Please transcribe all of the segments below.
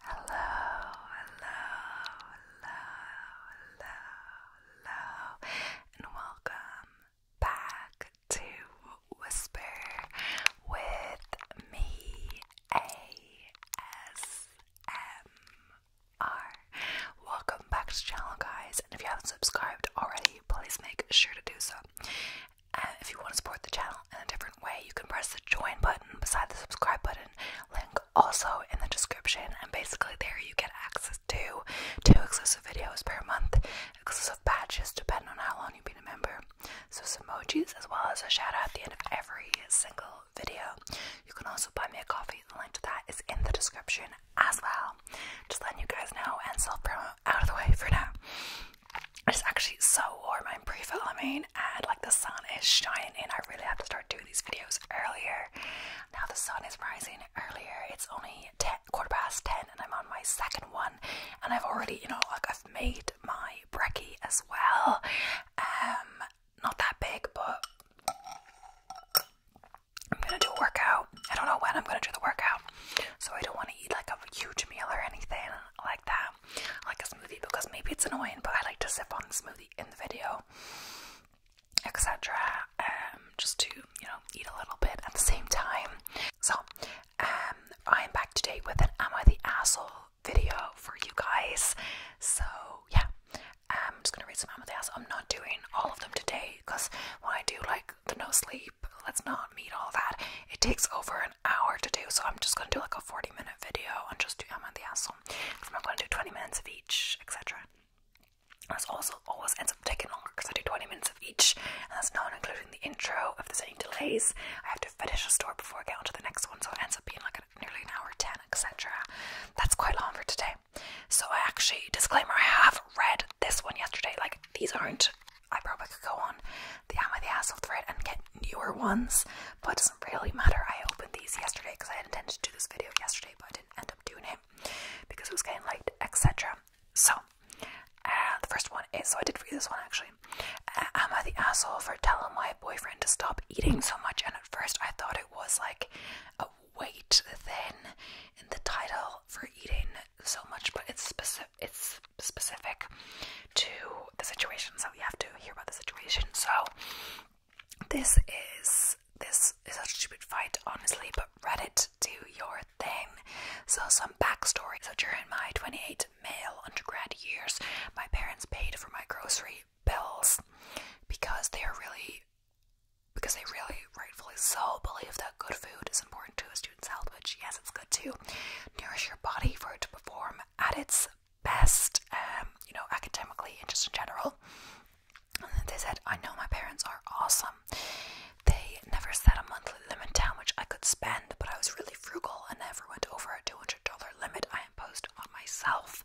Hello, hello, hello, hello, hello, and welcome back to Whisper with me, ASMR. Welcome back to the channel, guys, and if you haven't subscribed already, please make sure to do so. And if you want to support the channel in a different way, you can press the join button beside the subscribe button, link also in the description. And basically, there you get access to two exclusive videos per month, exclusive badges depending on how long you've been a member, so some emojis as well as a shout out at the end of every single video. You can also buy me a coffee, the link to that is in the description as well. Just letting you guys know and self promo out of the way for now. It's actually so warm. I'm pre-filming and like the sun is shining in. I really have to start doing these videos earlier. Now the sun is rising earlier. It's only ten, quarter past ten and I'm on my second one. And I've already, you know, like I've made my brekkie as well. Um, not that big, but I'm gonna do a workout. I don't know when I'm gonna do the workout, so I don't want to eat like a huge meal or anything like that, like a smoothie, because maybe it's annoying. But I like to sip on the smoothie in the video, etc. Um, just to you know eat a little bit at the same time. So, um, I'm back today with an "Am the Asshole?" video for you guys. So yeah. I'm just gonna read some the amethyst. I'm not doing all of them today because when I do like the no sleep. Let's not need all that. It takes over an hour to do, so I'm just gonna do like a 40 minute video and just do I'm on the asshole. I'm not gonna do 20 minutes of each, etc. This also always ends up taking longer because I do 20 minutes of each, and that's not including the intro. of the same delays, I have to finish a story before I get on to the next one, so it ends up being like nearly an hour 10, etc. That's quite long for today. So, I actually, disclaimer, I have read this one yesterday. Like, these aren't I probably could go on the Am I the Asshole thread and get newer ones, but it doesn't really matter. I opened these yesterday because I had intended to do this video yesterday, but I didn't end up doing it because it was getting late, etc. So, uh, the first one is so I did read this one actually. Uh, am I the asshole for telling my boyfriend to stop eating so much? And at first, I thought it was like a weight thing in the title for eating so much, but it's specific it's specific to the situation, so you have to hear about the situation. So this is this is a stupid fight, honestly, but Reddit do your thing. So some backstory. So during my 28 male undergrad years, my parents paid for my grocery bills because they are really because they really rightfully so believe that good food is important to us student's which yes, it's good to nourish your body for it to perform at its best, um, you know, academically and just in general. And they said, I know my parents are awesome. They never set a monthly limit down which I could spend, but I was really frugal and never went over a $200 limit I imposed on myself.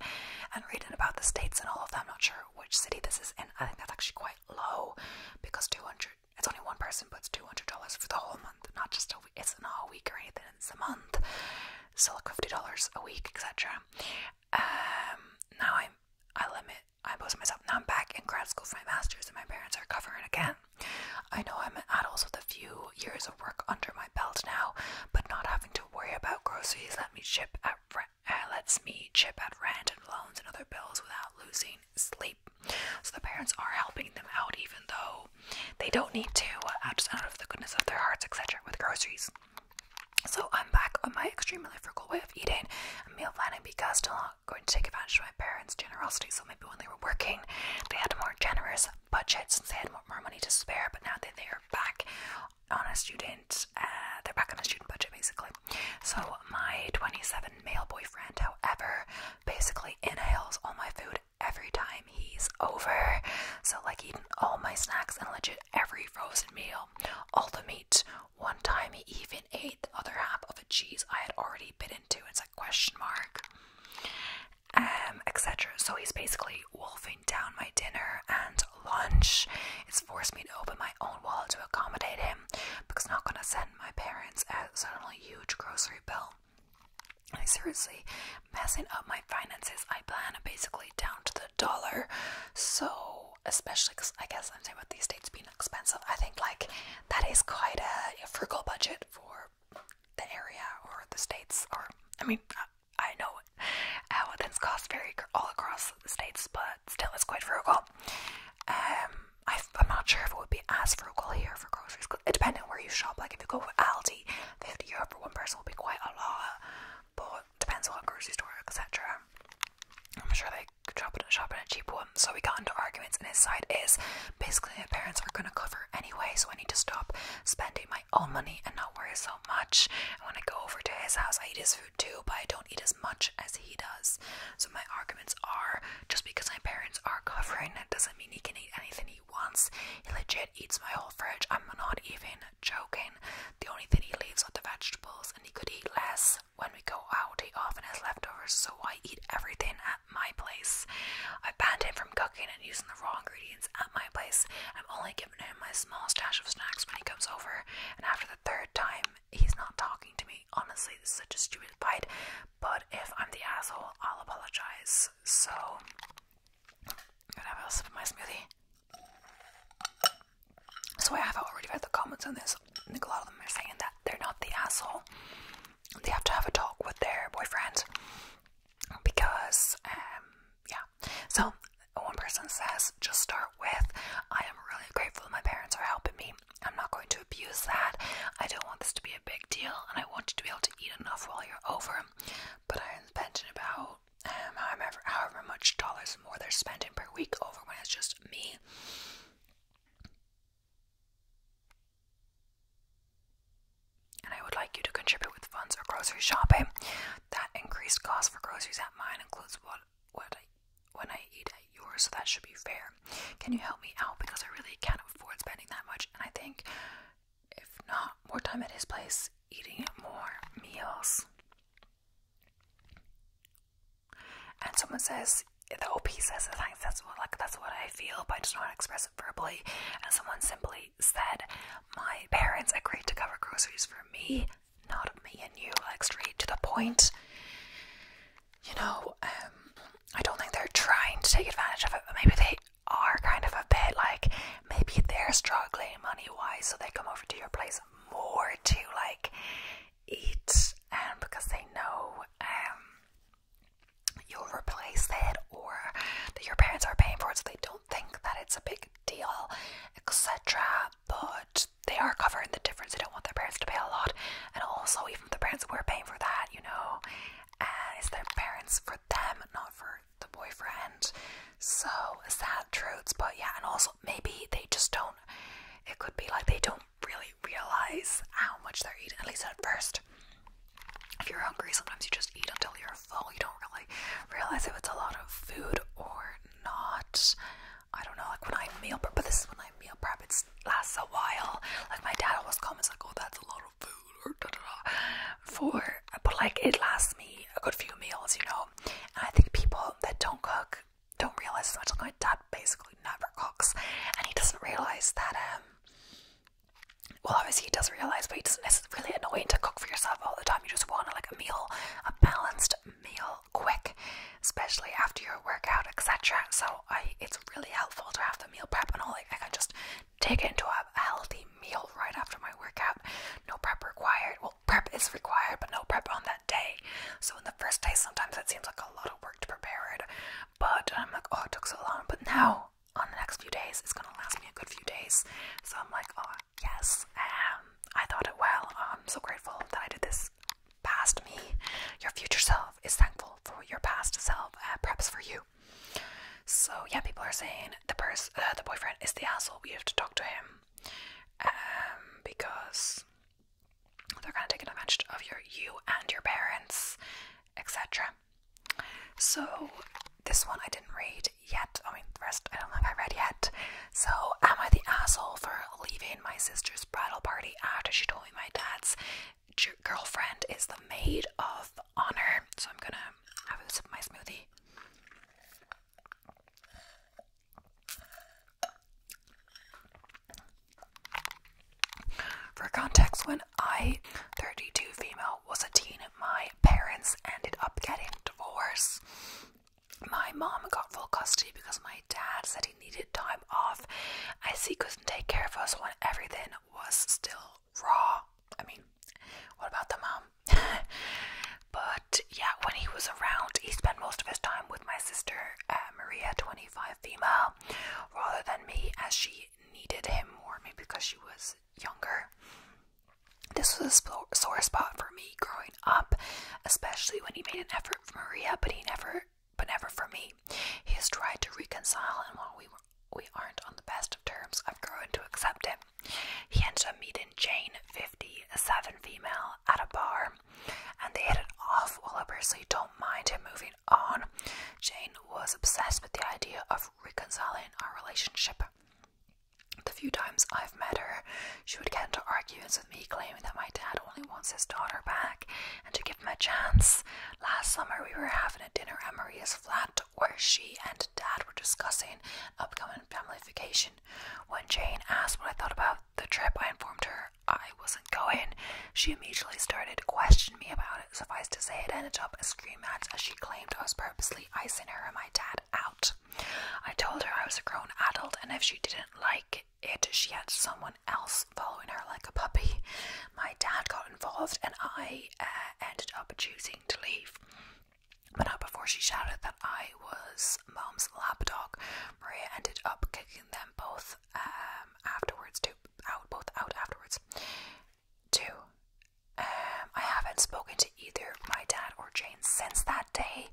And reading about the states and all of them, I'm not sure which city this is in. I think that's actually quite low because $200 it's only one person puts two hundred dollars for the whole month, not just a week. It's not a week or anything. It's a month, so like fifty dollars a week, etc. Um, now I'm I limit. I post myself. Now I'm back in grad school for my master's, and my parents are covering again. I know I'm an adult with a few years of work under my belt now, but not having to worry about groceries let me chip at uh, lets me chip at rent and loans and other bills without losing sleep. So the parents are helping them out, even though they don't need to, out of the goodness of their hearts, etc., with groceries. So I'm back on my extremely frugal way of eating and meal planning because still not going to take advantage of my parents' generosity. So maybe when they were working, they had a more generous budget since they had more money to spare. But now that they are back on a student, uh, they're back on a student budget basically. So my 27 male boyfriend, however, basically inhales all my food every time he's over. So, like, eating all my snacks and legit every frozen meal, all the meat. One time, he even ate the other half of a cheese I had already bit into. It's a question mark. Um, etc. So he's basically wolfing down my dinner and lunch. It's forced me to open my own wallet to accommodate him because, not gonna send my parents at suddenly huge grocery bill. I seriously messing up my finances. I plan basically down to the dollar. So, especially because I guess I'm saying about these states being expensive, I think like that is quite a, frugal budget for the area or the states. Or I mean, I, know how things cost vary all across the states, but still, it's quite frugal. Um, I, am not sure if it would be as frugal here for groceries. It depends on where you shop, like if you go for Aldi, 50 euro for one person will be quite a lot, but depends on what grocery store, etc. I'm sure they could shop in, shop in a cheap one. So we got into arguments, and his side is basically my parents are going to cover anyway, so I need to stop spending my own money and not worry so much. And when I go over to his house, I eat his food too, but I don't eat as much as he does my arguments are just because my parents are covering, it doesn't mean he can eat anything he wants. He legit eats my whole fridge. I'm not even joking. The only thing he leaves are the vegetables, and he could eat less when we go out. He often has leftovers, so I eat everything at my place. I banned him from cooking and using the raw ingredients at my place. I'm only giving him my small stash of snacks when he comes over, and after the third time, he's not talking to me. Honestly, this is such a stupid fight, but if I'm the asshole, I'll apologize. So, gonna have a sip of my smoothie. So I have already read the comments on this. I think a lot of them are saying that they're not the asshole. They have to have a talk with their boyfriend because, um, yeah. So one person says, just start with, I am really grateful my parents are helping me I'm not going to abuse that. I don't want this to be a big deal, and I want you to be able to eat enough while you're over. But I'm spending about um, however, however much dollars more they're spending per week over when it's just me. And I would like you to contribute with funds or grocery shopping. That increased cost for groceries at mine includes what when I eat yours, so that should be fair. Can you help me out? Because I really can't afford spending that much, and I think if not, more time at his place, eating more meals. And someone says, the OP says it, like, that's what like that's what I feel, but I just don't know to express it verbally. And someone simply said, My parents agreed to cover groceries for me, not me and you, like straight to the point you know, um, I don't think they're trying to take advantage of it, but maybe they are kind of a bit like maybe they're struggling money wise, so they come over to your place more to like eat, and um, because they know um you'll replace it or that your parents are paying for it, so they don't think that it's a big deal, etc. But they are covering the difference. They don't want their parents to pay a lot, and also even if the parents were paying for that, you know, and uh, it's their parents for them, not for the boyfriend. So sad truths, but yeah, and also maybe they just don't. It could be like they don't really realize how much they're eating, at least at first. If you're hungry, sometimes you just eat until you're full. You don't really realize if it's a lot of food or not. I don't know, like when I meal prep, but this is when meal prep. It lasts a while. Like my dad always comments like, "Oh, that's a lot of food," or da da da. For but like it lasts me a good few meals, you know. And I think people that don't cook don't realize as much. Like my dad basically never cooks, and he doesn't realize that. um well, obviously he does realize, but he doesn't. It's really annoying to cook for yourself all the time. You just want like a meal, a balanced meal, quick, especially after your workout, etc. So I, it's really helpful to have the meal prep and all, like I can just take it into a, healthy meal right after my workout. No prep required. Well, prep is required, but no prep on that day. So in the first day, sometimes it seems like a lot of work to prepare it, but I'm um, like, oh, it took so long. But now, on the next few days, it's gonna last me a good few days. So I'm like, oh yes, um, I thought it well. I'm so grateful that I did this. Past me, your future self is thankful for your past self uh, preps for you. So yeah, people are saying the person, uh, the boyfriend is the asshole. We have to talk to him um, because they're gonna take advantage of your you and your parents, etc. So this one I didn't read yet. I mean, the rest I don't think I read yet. So am I the asshole for leaving my sister's bridal party after she told me my dad's girlfriend is the maid of honor. So I'm gonna have a sip of my smoothie. For context, when I, 32 female, was a teen, my parents ended up getting divorced. My mom got full custody because my dad said he needed time off I he couldn't take care of us when everything was still raw. I mean, what about the mom? but yeah, when he was around, he spent most of his time with my sister, uh, Maria, 25 female, rather than me, as she needed him more, maybe because she was younger. This was a sore spot for me growing up, especially when he made an effort for Maria, but he never, but never for me. He has tried to reconcile, and while we we aren't on the best of terms. I've grown to accept it. He ends up meeting Jane, fifty-seven female, at a bar, and they hit it off. While I personally don't mind him moving on, Jane was obsessed with the idea of reconciling our relationship. The few times I've met her, she would get into arguments with me, claiming that my dad only wants his daughter back and to give him a chance. Last summer, we were having a dinner at Maria's flat where she and Dad were discussing upcoming family vacation. When Jane asked what I thought about the trip, I informed her I wasn't going. She immediately started to question me about it. Suffice to say, it ended up a scream match as she claimed I was purposely icing her and my dad out. I told her I was a grown adult, and if she didn't like it, she had someone else following her like a puppy. My dad got involved, and I uh, ended up choosing to leave. But not before she shouted that I was mom's dog. Maria ended up kicking them both um, afterwards, too. Out, both out afterwards. Two. Um, I haven't spoken to either my dad or Jane since that day.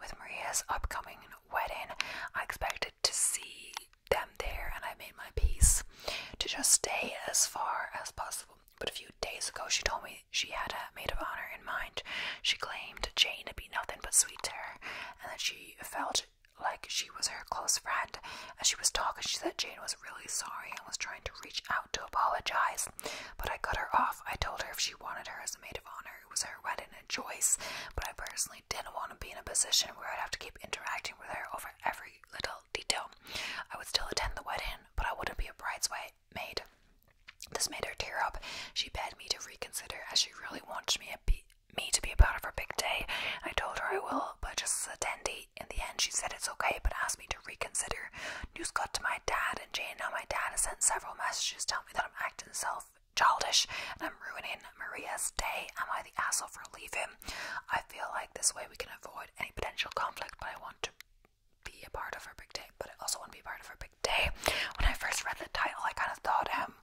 With Maria's upcoming wedding, I expected to see them there and I made my peace to just stay as far as possible. But a few days ago, she told me she had a maid of honor in mind. She claimed Jane to be nothing but sweet to her, and that she felt like she was her close friend. As she was talking, she said Jane was really sorry and was trying to reach out to apologize. But I cut her off. I told her if she wanted her as a maid of honor, it was her wedding and choice. But I personally didn't want to be in a position where I'd have to keep interacting with her over every little detail. I would still attend the wedding, but I wouldn't be a bridesmaid. This made her tear up. She begged me to reconsider, as she really wants me, to be a part of her big day. I told her I will, but just attend. In the end, she said it's okay, but asked me to reconsider. News got to my dad and Jane. Now my dad has sent several messages telling me that I'm acting self childish and I'm ruining Maria's day. Am I the asshole for leaving? I feel like this way we can avoid any potential conflict, but I want to be a part of her big day, but I also want to be a part of her big day. When I first read the title, I kind of thought um,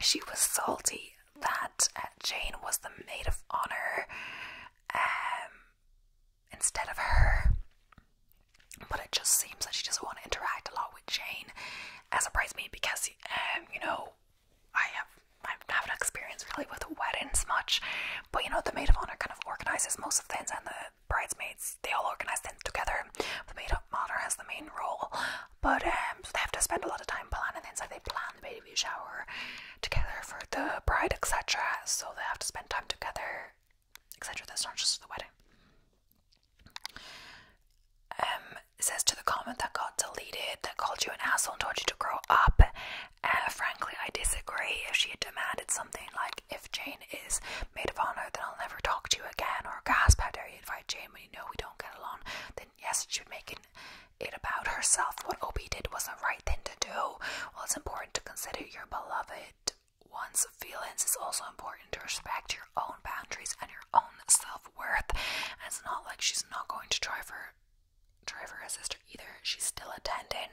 she was salty that uh, Jane was the maid of honor um, instead of her. But it just seems like she doesn't want to interact a lot with Jane as a bridesmaid because, um, you know, I have I haven't experienced really with weddings much, but you know the maid of honor kind of organizes most of things, and the bridesmaids they all organize things together. The maid of honor has the main role, but um, they have to spend a lot of time planning things. Like they plan the baby shower together for the bride, etc. So they have to spend time together, etc. That's not just the wedding. Um, says to the comment that got deleted, that called you an asshole and told you to grow up, uh, frankly, I disagree. If she had demanded something like, if Jane is maid of honour, then I'll never talk to you again, or gasp, how dare you invite Jane when you know we don't get along, then yes, she would make it, about herself. What Opie did was the right thing to do. Well, it's important to consider your beloved one's feelings. It's also important to respect your own boundaries and your own self worth. it's not like she's not going to try for driver or sister either. She's still attending.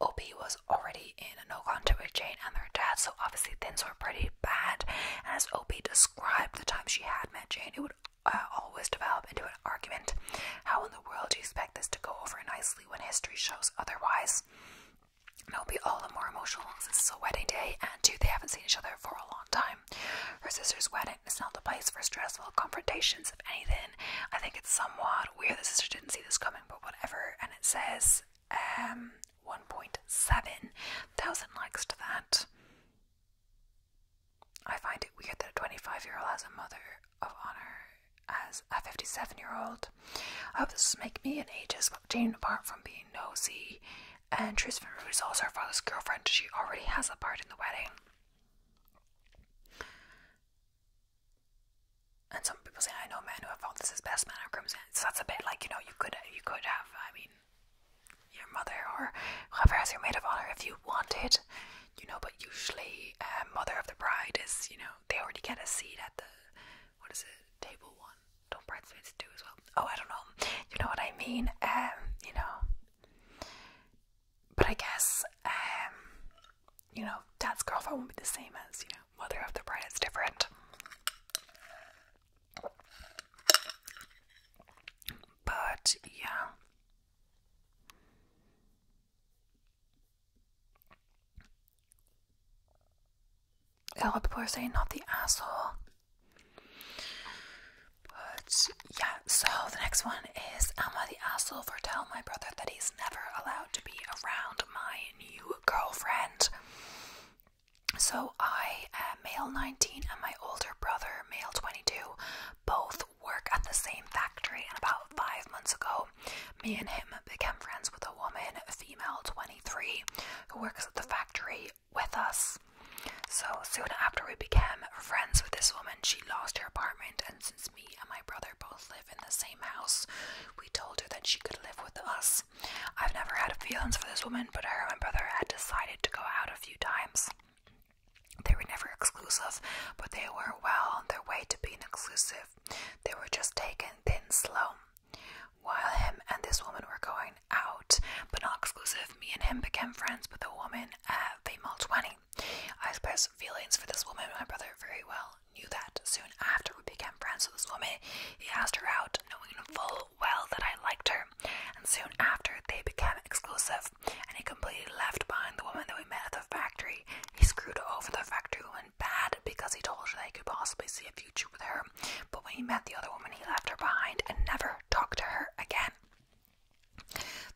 Opie was already in a no contact with Jane and their dad, so obviously things were pretty bad. as Opie described the time she had met Jane, it would uh, always develop into an argument. How in the world do you expect this to go over nicely when history shows otherwise? And it'll be all the more emotional since it's a wedding day, and two, they haven't seen each other for a long time. Her sister's wedding it's not the place for stressful confrontations, if anything. I think it's somewhat weird. The sister didn't see this coming, but whatever. And it says um, 1.7 thousand likes to that. I find it weird that a 25 year old has a mother of honor as a 57 year old. I hope this will make me an ageist Jane, apart from being nosy and Tristan Rude also her father's girlfriend. She already has a part in the wedding. And some people say, "I know a man who I felt this is best man of crimson." So that's a bit like you know you could you could have I mean your mother or whoever has your maid of honor if you wanted, you know. But usually, um, mother of the bride is you know they already get a seat at the what is it table one? Don't bridesmaids do as well? Oh, I don't know. You know what I mean? Um, you know, but I guess, um, you know, dad's girlfriend won't be the same as, you know, mother of the bride. It's different. But yeah. A lot of people are saying not the asshole. But yeah, so the next one is Emma the asshole for telling my brother that he's never allowed to be around my new girlfriend. So I am male 19 and my older brother, male 22, both work at the same factory and about five months ago, me and him became friends with a woman, female 23, who works at the factory with us. So soon after we became friends with this woman, she lost her apartment and me and my brother both live in the same house, we told her that she could live with us. I've never had feelings for this woman, but her and my brother had decided to go out a few times. They were never exclusive, but they were well on their way to being exclusive. They were just taken thin slow. While him and this woman were going out, but not exclusive, me and him became friends with the woman at female 20. I expressed feelings for this woman, my brother very well knew that. Soon after we became friends with this woman, he asked her out, knowing full well that I liked her, and soon after they became exclusive, and he completely left behind the woman that we met at the factory. He screwed over the factory woman bad because he told her that he could possibly see a future with her, but when he met the other woman, he left her behind and never talked to her again.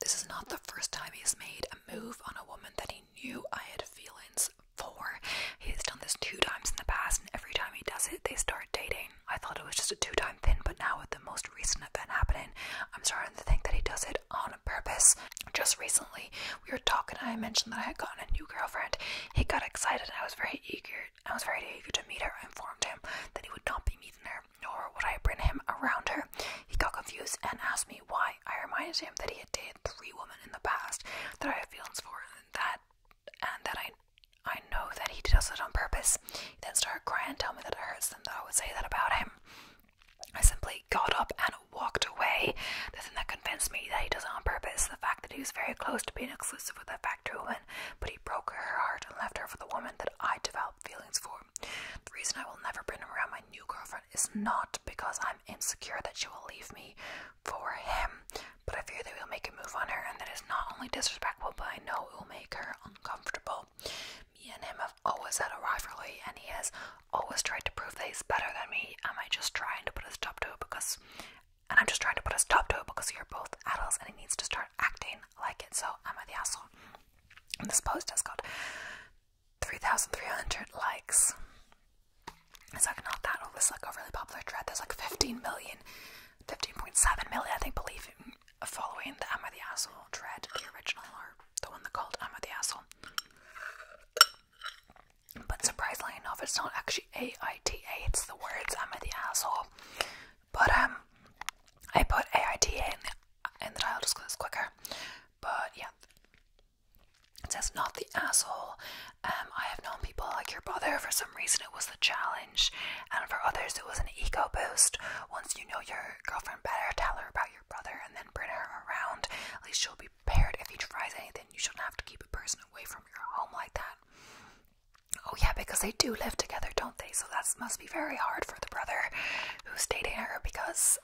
This is not the first time he's made a move on a woman that he knew I had feelings for. He has done this two times in the past, and every time he does it, they start dating. I thought it was just a two time thing, but now with the most recent event happening, I'm starting to think that he does it on purpose. Just recently, we were talking, and I mentioned that I had gotten a new girlfriend. He got excited, and I was very eager. I was very eager to meet her. I informed him that he would not be meeting her, nor would I bring him around her. He got confused and asked me why. I reminded him that he had dated three women in the past that I have feelings for and that and that I I know that he does it on purpose. He then started crying and told me that it hurts them that I would say that about him. I simply got up and walked away. The thing that convinced me that he does it on purpose, is the fact that he was very close to being exclusive with that factory woman, but he broke her heart and left her for the woman that I developed feelings for. The reason I will never bring him around my new girlfriend boyfriend is not because I'm insecure that she will leave me for him, but I fear that he'll make a move on her and that is not only disrespectful, but I know it will make her uncomfortable. Me and him have always had a rivalry, and he has always tried to prove that he's better than me. Am I just trying to put a stop to it because and I'm just trying to put a stop to it because you're both adults and he needs to start acting like it, so am I the asshole? And this post has got 3,300 likes. It's like not that old. This like a really popular thread. There's like 15 million, 15.7 million, I think, believe following the Am I the Asshole thread, the original or the one that called Am I the Asshole. But surprisingly enough, it's not actually A I T A, it's the words Am I the Asshole. But um, I put A I T A in the, title just because it's quicker. But yeah, it says not the asshole. Um, I have known people like your brother. For some reason, it was the challenge, and for others, it was an ego boost. Once you know your girlfriend better, tell her about your brother, and then bring her around. At least she'll be prepared if he tries anything. You shouldn't have to keep a person away from your home like that. Oh yeah, because they do live together, don't they? So that must be very hard for the brother who's dating her because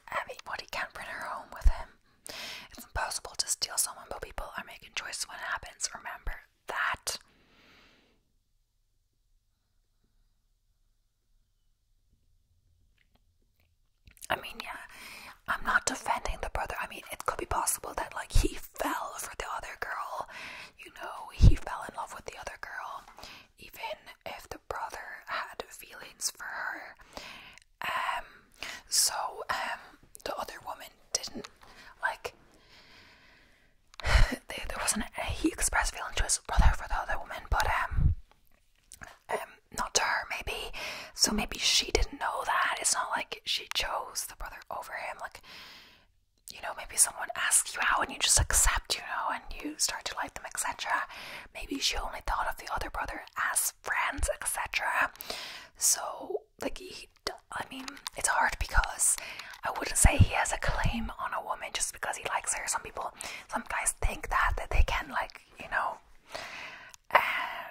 what he can bring her home with him. It's impossible to steal someone, but people are making choices when it happens. Remember that. I mean, yeah, I'm not defending the brother. I mean, it could be possible that, like, he fell for the other girl. You know, he fell in love with the other girl even if the brother had feelings for her. Um, so um, the other woman didn't like. There, wasn't a, he expressed feeling to his brother for the other woman, but um, um, not to her maybe. So maybe she didn't know that. It's not like she chose the brother over him. Like, you know, maybe someone asks you out and you just accept, you know, and you start to like them, etc. Maybe she only thought of the other brother as friends, etc. So, like, he, I mean, it's hard because I wouldn't say he has a claim on a woman just because he likes her. Some people, some guys think that, that they can, like, you know, uh,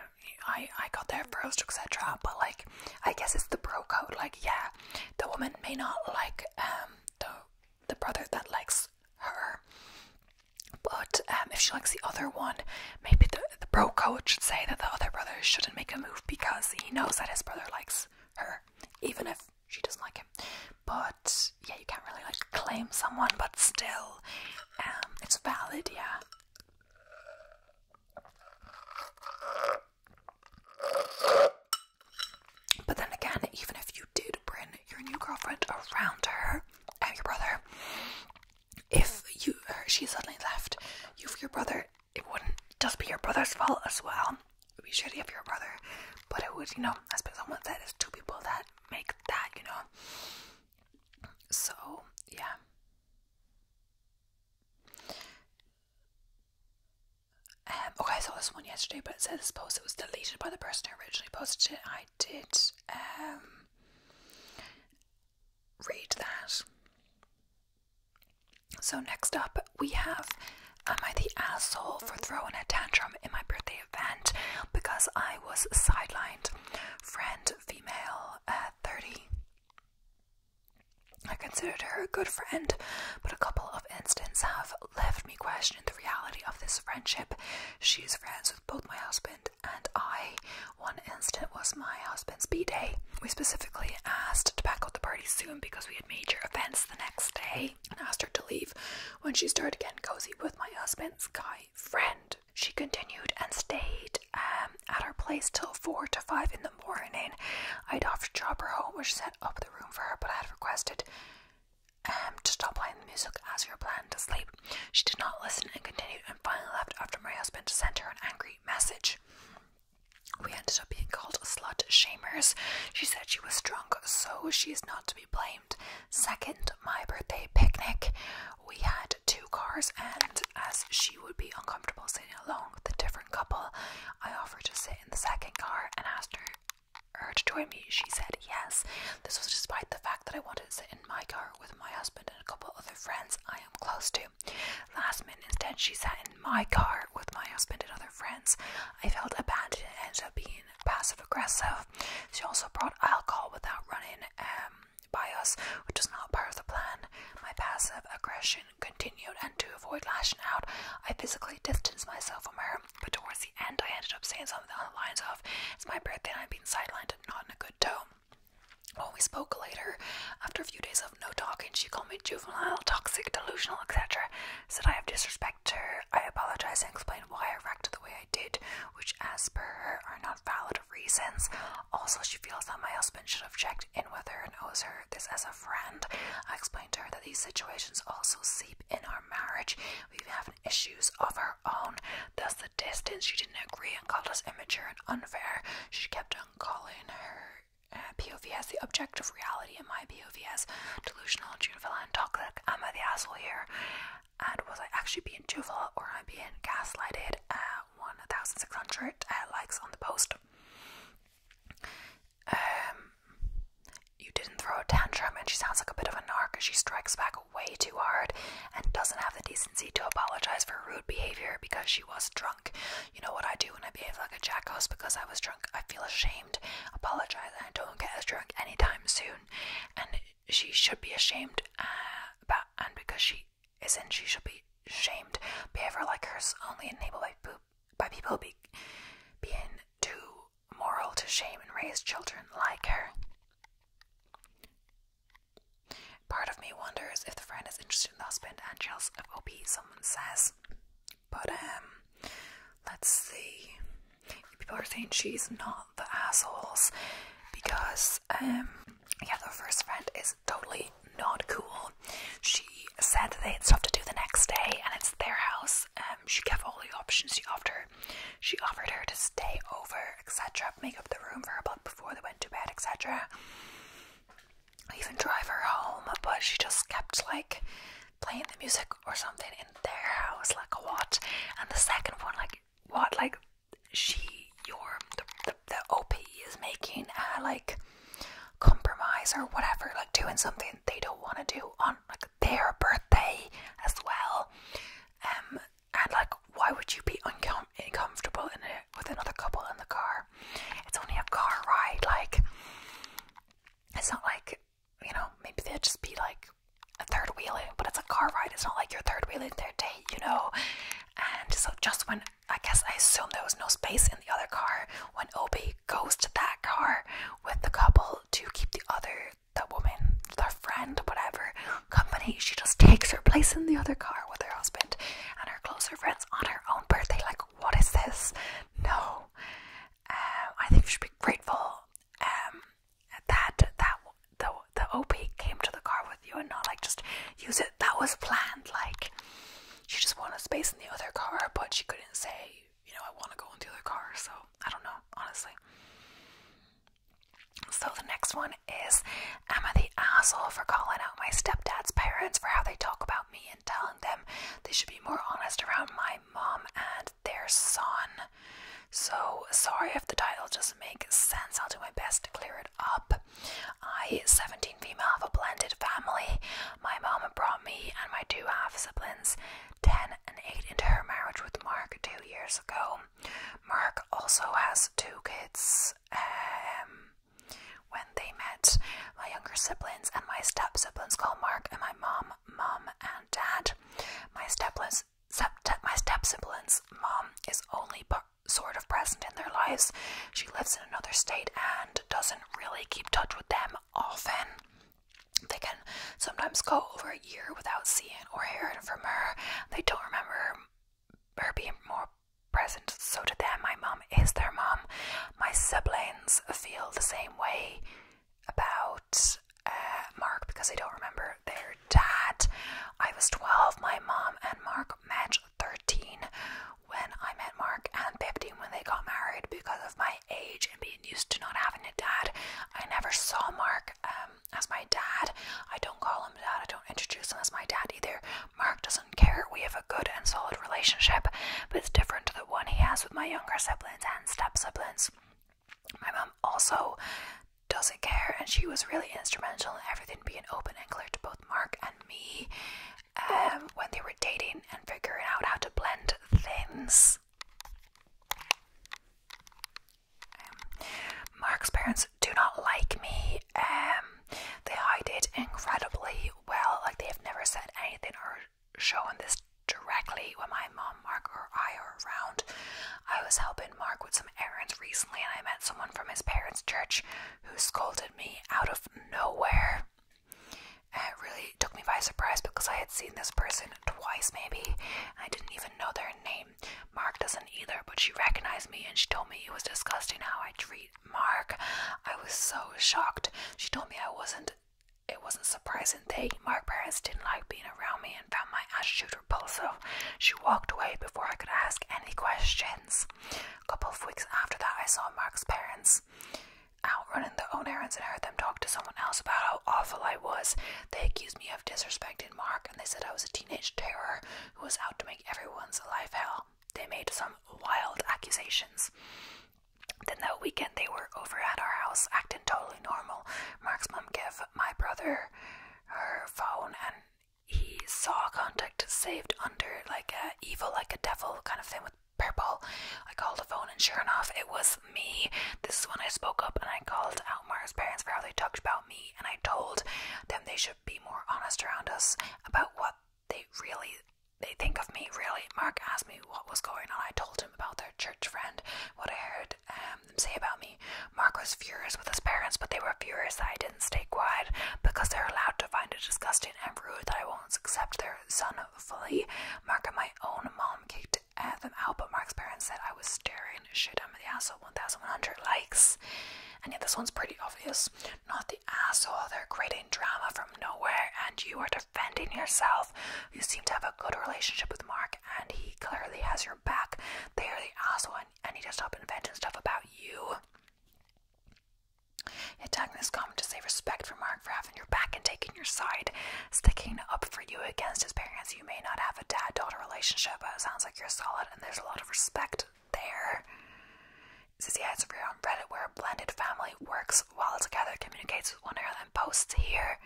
I, I got there first, etc. But, like, I guess it's the bro code. Like, yeah, the woman may not like um, the, the brother that likes her. But um, if she likes the other one, maybe the, bro code should say that the other brother shouldn't make a move because he knows that his brother likes her, even if she doesn't like him. But yeah, you can't really like claim someone, but still, um, it's valid, yeah. But then again, even if you did bring your new girlfriend around her and your brother, if you she suddenly left you for your brother, it wouldn't just be your brother's fault as well. It would be shitty of your brother, but it would, you know, I as someone said, it's two people that make that, you know. So, yeah. Um, okay, I saw this one yesterday, but it says this post it was deleted by the person who originally posted it. I did um read that. So, next up, we have Am I the asshole for throwing a tantrum in my birthday event because I was sidelined? Friend, female, uh, 30. I considered her a good friend, but a couple of incidents have left me questioning the reality of this friendship. She is friends with both my husband and I. One instant was my husband's B day. We specifically asked to pack up the party soon because we had major events the next day and asked her to leave when she started getting cozy with my husband's guy friend. She continued and stayed um, at our place till 4 to 5 in the morning. I'd offered to drop her home, which set up the room for her, but I had requested um, to stop playing the music as we were planning to sleep. She did not listen and continued and finally left after my husband sent her an angry message. We ended up being called slut shamers. She said she was drunk, so she is not to be blamed. Second, my birthday picnic. We had two cars, and as she would be uncomfortable sitting alone with a different couple, I offered to sit in the second car and asked her to join me. She said yes. This was despite the fact that I wanted to sit in my car with my husband and a couple other friends I am close to. Last minute, instead, she sat in my car with my husband and other friends. I felt abandoned and ended up being passive aggressive. She also brought alcohol without running um, by us, which was not part of the plan. My passive aggression continued, and to avoid lashing out, I physically distanced myself from her. But towards the end, I ended up saying something on the lines of, It's my birthday and I'm being sidelined and not in a good tone. Well, we spoke later, after a few days of no talking, she called me juvenile, toxic, delusional, etc. Said I have disrespected her. I apologized and explained why I reacted the way I did, which, as per her, are not valid reasons. Also, she feels that my husband should have checked in with her and owes her this as a friend. I explained to her that these situations also seep in our marriage. We have issues of our own. Thus, distance. She didn't agree and called us immature and unfair. She kept on calling her uh, POV as the objective reality and my POV as delusional, juvenile, and toxic. Am I the asshole here? And was I actually being juvenile or am I being gaslighted? At 1,600 uh, likes on the post. Um, you didn't throw a tantrum, and she sounds like a bit of a narc. She strikes back way too hard and doesn't have the decency to apologize for rude behavior because she was drunk. You know what I do when I behave like a jackass because I was drunk? I feel ashamed, apologize, and I don't get as drunk anytime soon. And she should be ashamed, uh, but, and because she isn't, she should be shamed. Behavior like hers only enabled by, by people be, being too moral to shame and raise children like her. Part of me wonders if the friend is interested in the husband and jealous of OP, someone says. But, um, let's see. People are saying she's not the assholes because, um, yeah, the first friend is totally not cool. She said that they had stuff to do the next day and it's their house. Um, she gave all the options. She offered she offered her to stay over, etc., make up the room for her but before they went to bed, etc. Even drive her home, but she just kept like playing the music or something in their house, like a what? And the second one, like what? Like she, your the the, the op is making a like compromise or whatever, like doing something they don't want to do on like their birthday as well. Um, and like, why would you be uncomfortable in it with another couple in the car? It's only a car ride. Like, it's not like you know. Maybe they'd just be like a third wheeling, but it's a car ride. It's not like your third wheeling their date, you know. And so, just when I guess I assume there was no space in the other car, when Obi goes to that car with the couple to keep the other, the woman, their friend, whatever, company. She just takes her place in the other car with her husband and her closer friends on her own birthday. Like, what is this? No. Um, I think we should be grateful um, that that the the OP came to the car with you and not like just use it. That was planned. Like, she just wanted space in the other car, but she couldn't say, you know, I want to go in the other car. So I don't know, honestly. So the next one is Emma the asshole for calling out my stepdad's parents for how they talk about me and telling them they should be more honest around my mom and their son? So sorry if the title doesn't make sense. I'll do my best to clear it up. I, 17 female, have a blended family. My mom brought me and my two half siblings, 10 and 8, into her marriage with Mark two years ago. Mark also has two kids. Um, when they met, my younger siblings and my step siblings call Mark and my mom, mom and dad. My step my step siblings' mom is only sort of present in their lives. She lives in another state and doesn't really keep touch with them often. They can sometimes go over a year without seeing or hearing from her. They don't remember her being more present. So to them, my mom is their mom. My siblings feel the same way about uh, Mark because I don't remember their dad. I was 12, my mom and Mark met 13 when I met Mark and 15 when they got married because of my age and being used to not having a dad. I never saw Mark um, as my dad. I don't call him dad. I don't introduce him as my dad either. Mark doesn't care. We have a good and solid relationship, but it's different to the one he has with my younger siblings and step siblings. My mom also doesn't care, and she was really instrumental in everything being open and clear to both Mark and me um, when they were dating and figuring out how to blend things. Mark's parents do not like me. Um, they hide it incredibly well. Like they have never said anything or shown this directly when my mom, Mark, or I are around. I was helping Mark with some errands recently, and I met someone from his parents' church who scolded me out of nowhere. And it really took me by surprise because I had seen this person twice, maybe, I didn't even know their name Mark doesn't either, but she recognized me and she told me it was disgusting how I treat Mark. I was so shocked. She told me I wasn't. It wasn't surprising that Mark's parents didn't like being around me and found my attitude repulsive. She walked away before I could ask any questions. A couple of weeks after that, I saw Mark's parents out running their own errands and heard them talk to someone else about how awful I was. They accused me of disrespecting Mark and they said I was a teenage terror who was out to make everyone's life hell. They made some wild accusations. Then that weekend they were over at our house, acting totally normal. Mark's mom gave my brother her phone and he saw contact saved under like a evil, like a devil kind of thing with purple. I called the phone and sure enough it was me. This is when I spoke up and I called out Mark's parents for how they talked about and I told them they should be more honest around us about what they really they think of me. Really, Mark asked me what was going on. I told him about their church friend, what I heard um, them say about me. Mark was furious with his parents, but they were furious that I didn't stay quiet because they're allowed to find it disgusting and rude that I won't accept their son fully. Mark and my own mom kicked uh, them out, but Mark's parents said I was staring shit, I'm the asshole, 1100 likes. And yet this one's pretty obvious. Not the asshole, they're creating drama from nowhere, and you are defending yourself. You seem to have a good relationship with Mark, and he clearly has your back. They are the asshole, and I need to stop inventing stuff about you. It's tagging this comment to say respect for Mark for having your back and taking your side, sticking up for you against his parents. You may not have a dad-daughter relationship, but it sounds like you're solid and there's a lot of respect there. It says, yeah, it's rare on Reddit where a blended family works well together, communicates with one another, and posts here.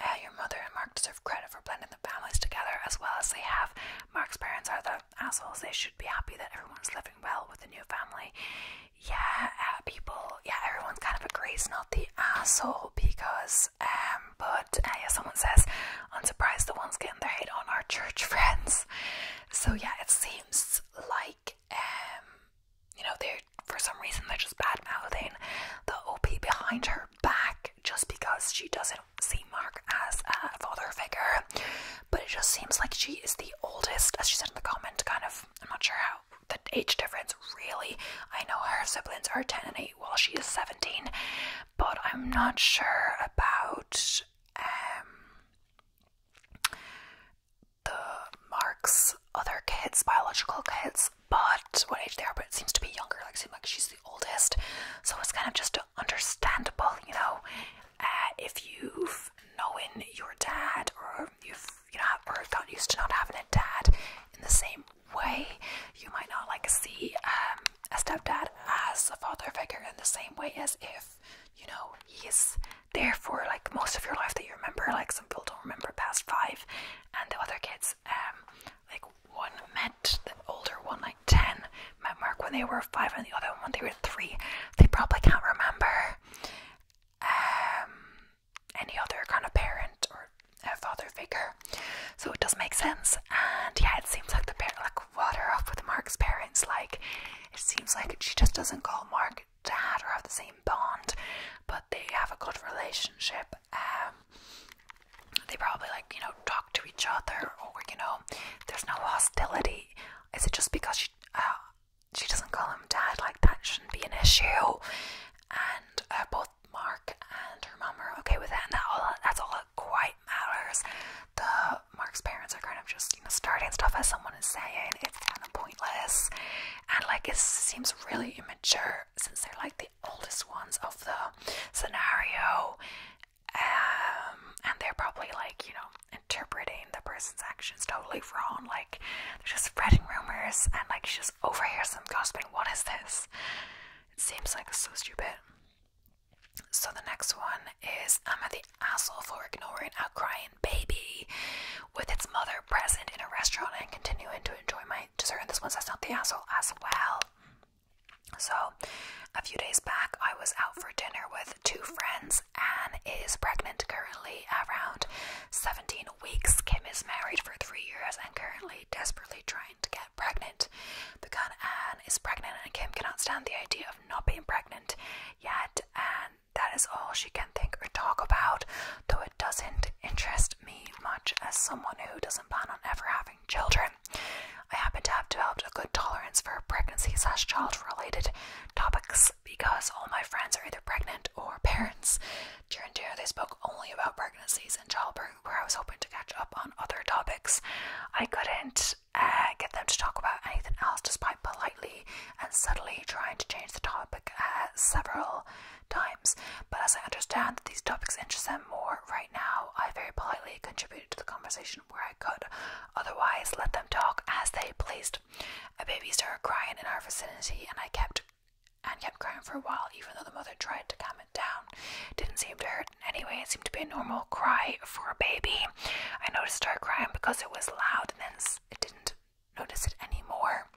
Uh, your mother and Mark deserve credit for blending the families together as well as they have. Mark's parents are the assholes. They should be happy that everyone's living well with the new family. Yeah, uh, people, yeah, everyone kind of agrees, not the asshole, because, um, but, uh, yeah, someone says, I'm surprised the ones getting their hate on our church friends. So yeah, it seems like um you know they're for some reason they're just bad mouthing the OP behind her back just because she doesn't see Mark as a father figure. But it just seems like she is the oldest, as she said in the comment, kind of I'm not sure how the age difference really. I know her siblings are 10 and 8 while she is 17, but I'm not sure about um, the Mark's other kids, biological kids, but what age they are, but it seems to be younger, like seems like she's the oldest. So it's kind of just understandable, you know, uh, if you've known your dad or you've you know or got used to not having a dad in the same way, you might not like see um a stepdad as a father figure in the same way as if, you know, he's there for like most of your life that you remember. Like some people don't remember past five, and the other kids, um, like one met the older one, like 10, met Mark when they were five, and the other one when they were three. They probably can't remember um, any other kind of parent or a father figure. So it does make sense, and yeah, it seems like the parent, like like what her up with Mark's parents. Like it seems like she just doesn't call Mark dad or have the same bond, but they have a good relationship. Um, they probably like you know talk to each other, or you know, there's no hostility. Is it just because she uh, she doesn't call him dad? Like that shouldn't be an issue. And uh, both Mark and her mum are okay with it, and that all that's all that quite matters. The Mark's parents are kind of just, you know, starting stuff as someone is saying. It's kind of pointless. And like it seems really immature since they're like the oldest ones of the scenario. Um, and they're probably like, you know, interpreting the person's actions totally wrong. Like they're just spreading rumors and like she just overhears them gossiping. What is this? It seems like so stupid. So the next one is I'm the asshole for ignoring a crying baby with its mother present in a restaurant and continuing to enjoy my dessert. And this one says not the asshole as well. So a few days back I was out for dinner with two friends. Anne is pregnant currently around 17 weeks. Kim is married for three years and currently desperately trying to get pregnant. Because Anne is pregnant and Kim cannot stand the idea of not being pregnant yet, and that is all she can think or talk about, though it doesn't interest me much as someone who doesn't plan on ever having children. I happen to have developed a good tolerance for pregnancy slash child related topics because all my friends are either pregnant or parents. and dinner, they spoke only about pregnancies and childbirth, where I was hoping to catch up on other topics. I couldn't uh, get them to talk about anything else despite politely and subtly trying to change the topic uh, several times. But as I understand that these topics interest them more right now, I very politely contributed to the conversation where I could. Otherwise, let them talk as they pleased. A baby started crying in our vicinity, and I kept and kept crying for a while, even though the mother tried to calm it down. Didn't seem to hurt Anyway, it seemed to be a normal cry for a baby. I noticed her crying because it was loud, and then it didn't notice it anymore.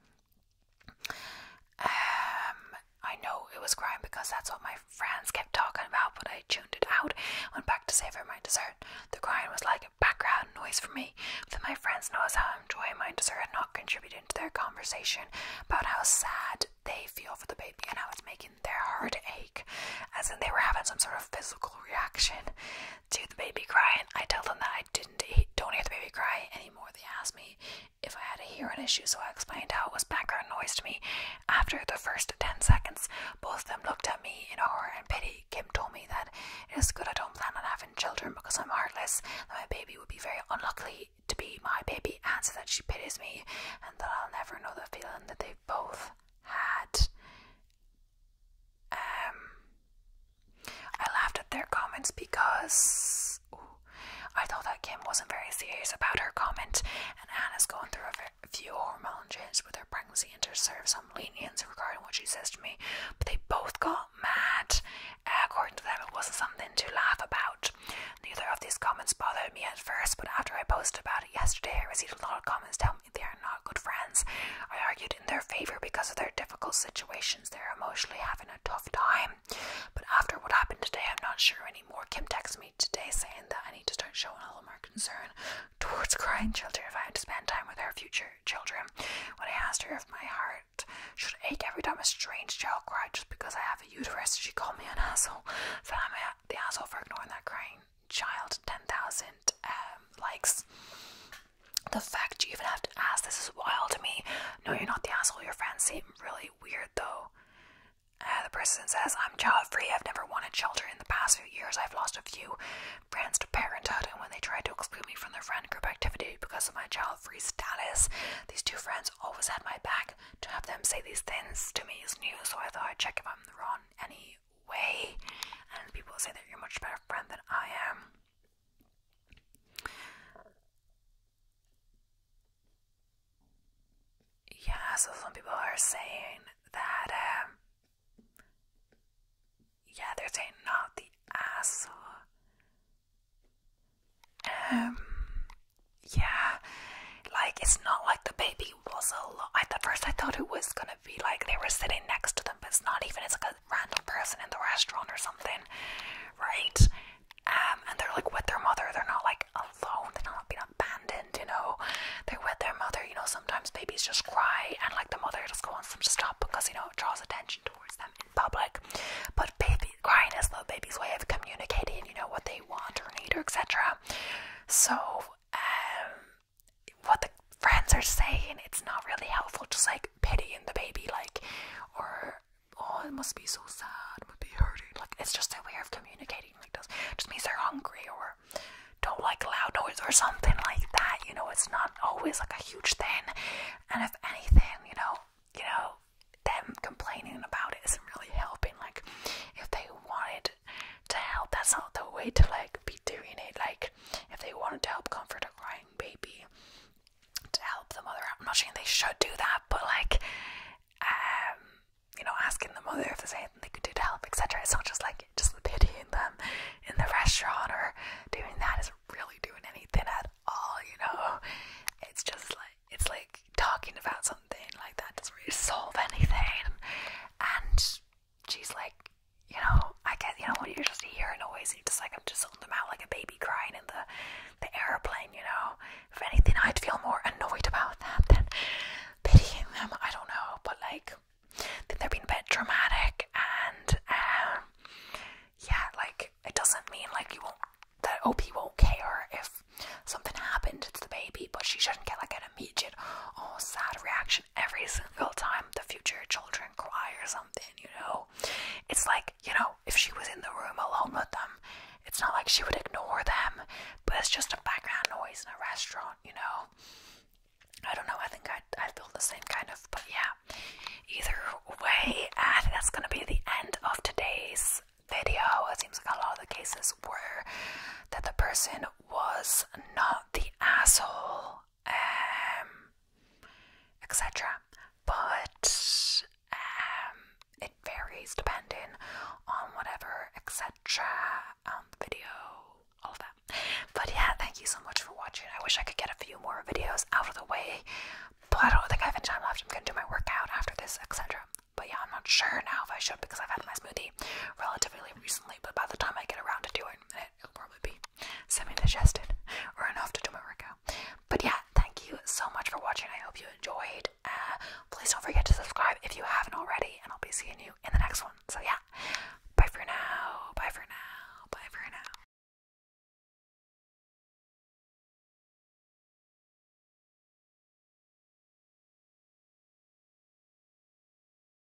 Um, I know it was crying because that's what my friends kept talking about, but I tuned it out. Went back to savor my dessert. The crying was like background noise for me, But my friends noticed how I'm enjoying my dessert and not contributing to their conversation about how sad they feel for the baby and how it's making in their heartache, as if they were having some sort of physical reaction to the baby crying. I tell them that I didn't don't hear the baby crying anymore. They asked me if I had a hearing issue, so I explained how it was background noise to me. After the first ten seconds, both of them looked at me in horror and pity. Kim told me that it is good I don't plan on having children because I'm heartless. That my baby would be very unlucky to be my baby, and so that she pities me, and that I'll never know the feeling that they both had. Um, I laughed at their comments because I thought that Kim wasn't very serious about her comment, and Anna's going through a few hormone changes with her pregnancy and to serve some leniency regarding what she says to me. But they both got mad. Eh, according to them, it wasn't something to laugh about. Neither of these comments bothered me at first, but after I posted about it yesterday, I received a lot of comments telling they are not good friends. I argued in their favor because of their difficult situations. They're emotionally having a tough time. But after what happened today, I'm not sure anymore. Kim texts me today saying that I need to start showing a little more concern towards crying children if I had to spend time with our future children. When I asked her if my heart should ache every time a strange child cried just because I have a uterus, she called me an asshole. So I'm the asshole for ignoring that crying child 10,000 um, likes. The fact you even have to ask this is wild to me. No, you're not the asshole. Your friends seem really weird though. Uh, the person says, I'm child free. I've never wanted children. In the past few years, I've lost a few friends to parenthood, and when they tried to exclude me from their friend group activity because of my child free status, these two friends always had my back. To have them say these things to me is new, so I thought I'd check if I'm wrong any way, and people say that you're much better friend than I am. Yeah, so some people are saying that, um, yeah, they're saying not the asshole. Um, yeah, like it's not like the baby lady was lot. At first, I thought it was gonna be like they were sitting next to them, but it's not even. It's like a random person in the restaurant or something, right? Um, and they're like with their mother. They're not like alone. They're not being abandoned. You know, they're with their mother. You know, sometimes babies just cry, and like the mother just wants them to stop because you know it draws attention towards them in public. But baby crying is little baby's way of communicating. You know what they want or need or etc. So. Um, what the friends are saying, it's not really helpful. Just like pitying the baby, like, or oh, it must be so sad, it must be hurting. Like, it's just a way of communicating. Like, this just means they're hungry or don't like loud noise or something like that. You know, it's not always like a huge thing. And if anything, you know, you know, them complaining about it isn't really helping. Like, if they wanted to help. That's not the way to like be doing it. Like if they wanted to help comfort a crying baby, to help the mother out. I'm not saying they should do that, but like um, you know, asking the mother if there's anything they could do to help, etc. It's not just like just pitying them in the restaurant or doing that isn't really doing anything at all, you know. It's just like it's like talking about something like that doesn't really solve anything and she's like, you know, I get, you know, when you're just hearing a noise, and you're just like, I'm just holding them out like a baby crying in the, the airplane, you know. If anything, I'd feel more annoyed about that than pitying them. I don't know, but like, they're being a bit dramatic, and um, yeah, like, it doesn't mean like you won't, that OP won't care if something happened to the baby, but she shouldn't get like an immediate, oh, sad reaction every single time the future children cry or something, you know? It's like, you know, if she was in the room alone with them, it's not like she would ignore them, but it's just a background noise in a restaurant, you know? I don't know, I think I'd, i feel the same kind of, but yeah. Either way, I think that's gonna be the end of today's video. It seems like a lot of the cases were that the person was not the asshole, um, etc. But um, it varies depending on whatever, etc. Um, video, all of that. But yeah, thank you so much for watching. I wish I could get a few more videos out of the way, but I don't think I have any time left. I'm gonna do my workout after this, etc. But yeah, I'm not sure now if I should because I've had my smoothie relatively recently. But by the time I get around to doing it, it'll probably be semi-digested or enough to do my workout. But yeah, thank you so much for watching. I hope you enjoyed. Uh, please don't forget to subscribe if you haven't already, and I'll be seeing you in the next one. So yeah, bye for now. Bye for now. Bye for now.